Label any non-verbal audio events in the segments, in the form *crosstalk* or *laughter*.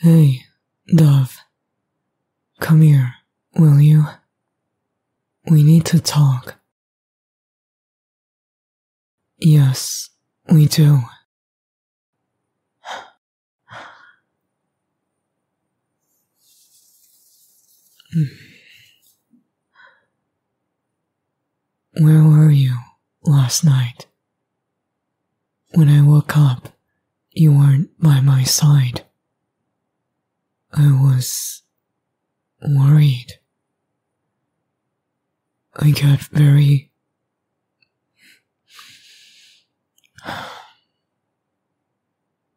Hey, Dove. Come here, will you? We need to talk. Yes, we do. Hmm. Where were you last night? When I woke up, you weren't by my side. I was worried. I got very.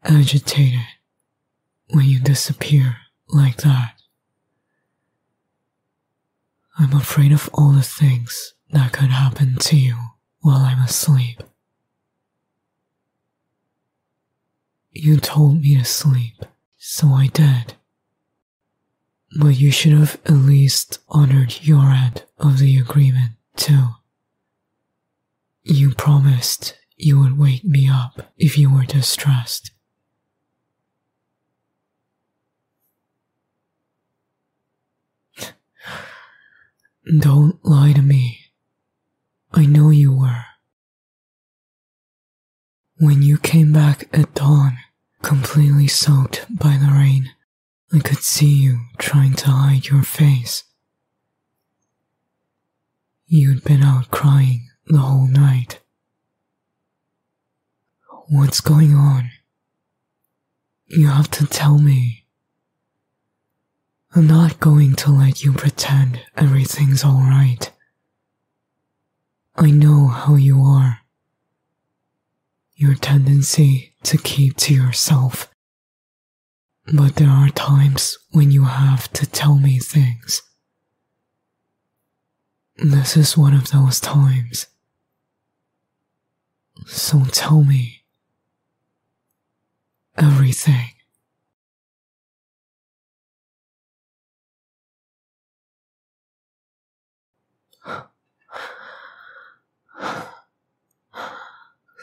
agitated when you disappear like that. I'm afraid of all the things that could happen to you while I'm asleep. You told me to sleep, so I did. But you should have at least honored your end of the agreement, too. You promised you would wake me up if you were distressed. *sighs* Don't lie to me. I know you were. When you came back at dawn, completely soaked by the rain, I could see you trying to hide your face. You'd been out crying the whole night. What's going on? You have to tell me. I'm not going to let you pretend everything's alright. I know how you are. Your tendency to keep to yourself. But there are times when you have to tell me things. This is one of those times. So tell me everything.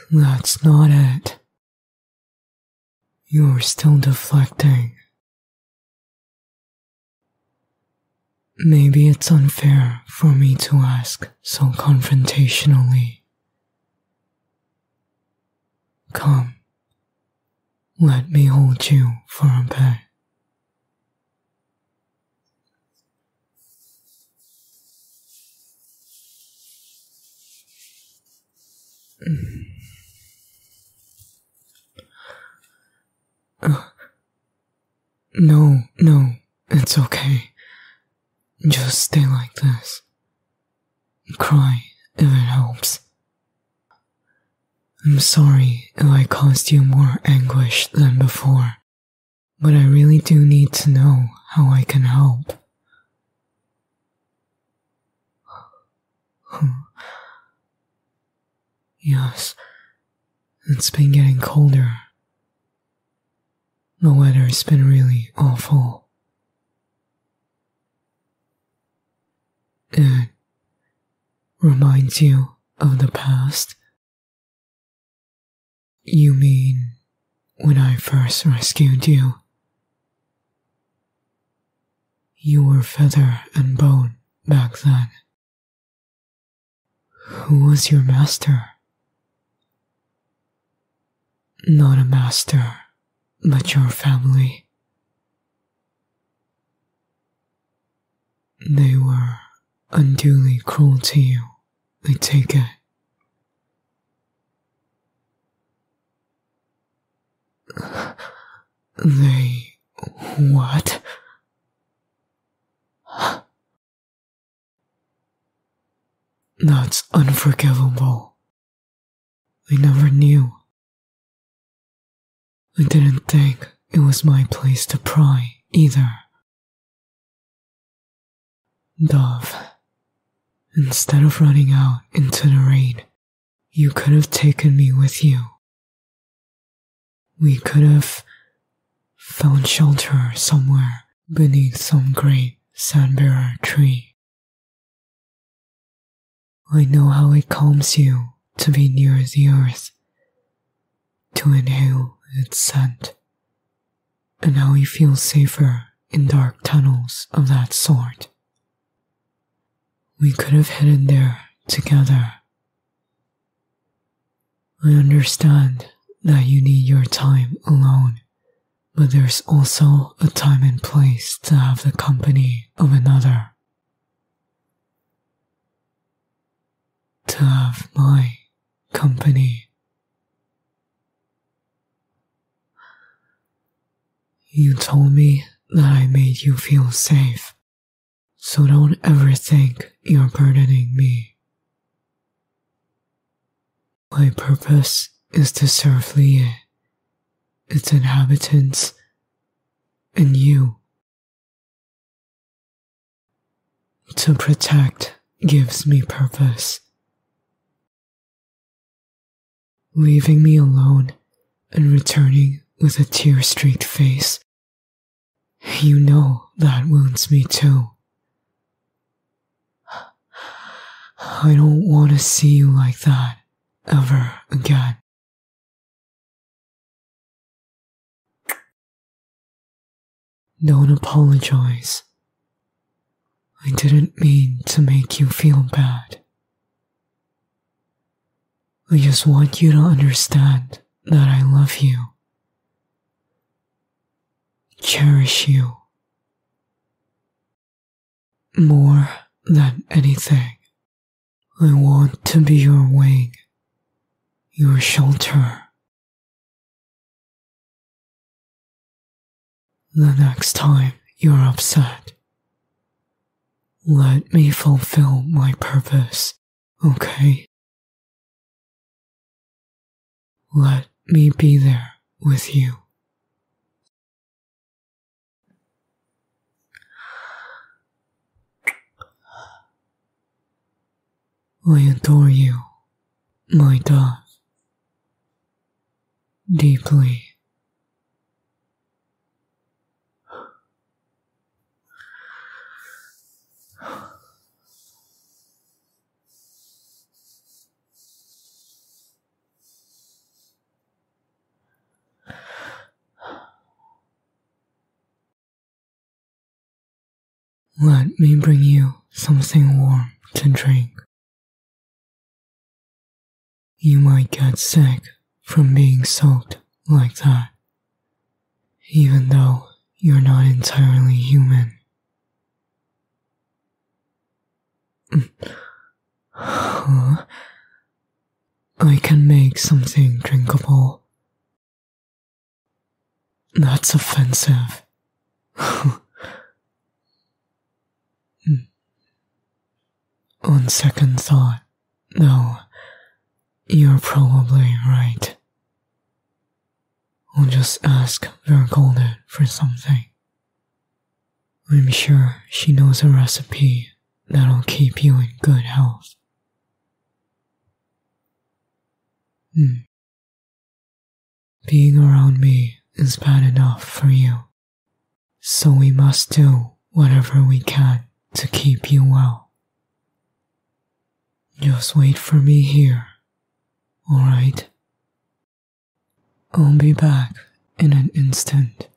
That's not it. You're still deflecting. Maybe it's unfair for me to ask so confrontationally. Come, let me hold you for a bit. *sighs* no, no, it's okay. Just stay like this. Cry if it helps. I'm sorry if I caused you more anguish than before, but I really do need to know how I can help yes, it's been getting colder. The weather's been really awful. It reminds you of the past. You mean when I first rescued you? You were feather and bone back then. Who was your master? Not a master, but your family. They were unduly cruel to you, I take it. They what? That's unforgivable. I never knew. I didn't think it was my place to pry either. Dove, instead of running out into the rain, you could have taken me with you. We could have found shelter somewhere beneath some great sandbearer tree. I know how it calms you to be near the earth, to inhale its scent, and how we feel safer in dark tunnels of that sort. We could have hidden there together. I understand that you need your time alone, but there's also a time and place to have the company of another. To have my company you told me that I made you feel safe, so don't ever think you're burdening me. My purpose is to serve Lie, its inhabitants, and you. To protect gives me purpose. Leaving me alone and returning with a tear streaked face. You know that wounds me too. I don't want to see you like that ever again. Don't apologize. I didn't mean to make you feel bad. I just want you to understand that I love you, cherish you more than anything. I want to be your wing, your shelter, the next time you're upset, let me fulfill my purpose, okay? Let me be there with you. I adore you, my dove, deeply. Let me bring you something warm to drink. You might get sick from being soaked like that, even though you're not entirely human. *sighs* I can make something drinkable that's offensive. Hmm. On second thought, no, you're probably right. I'll just ask Vergolda for something. I'm sure she knows a recipe that'll keep you in good health. Hmm. Being around me is bad enough for you, so we must do whatever we can to keep you well. Just wait for me here, alright? I'll be back in an instant.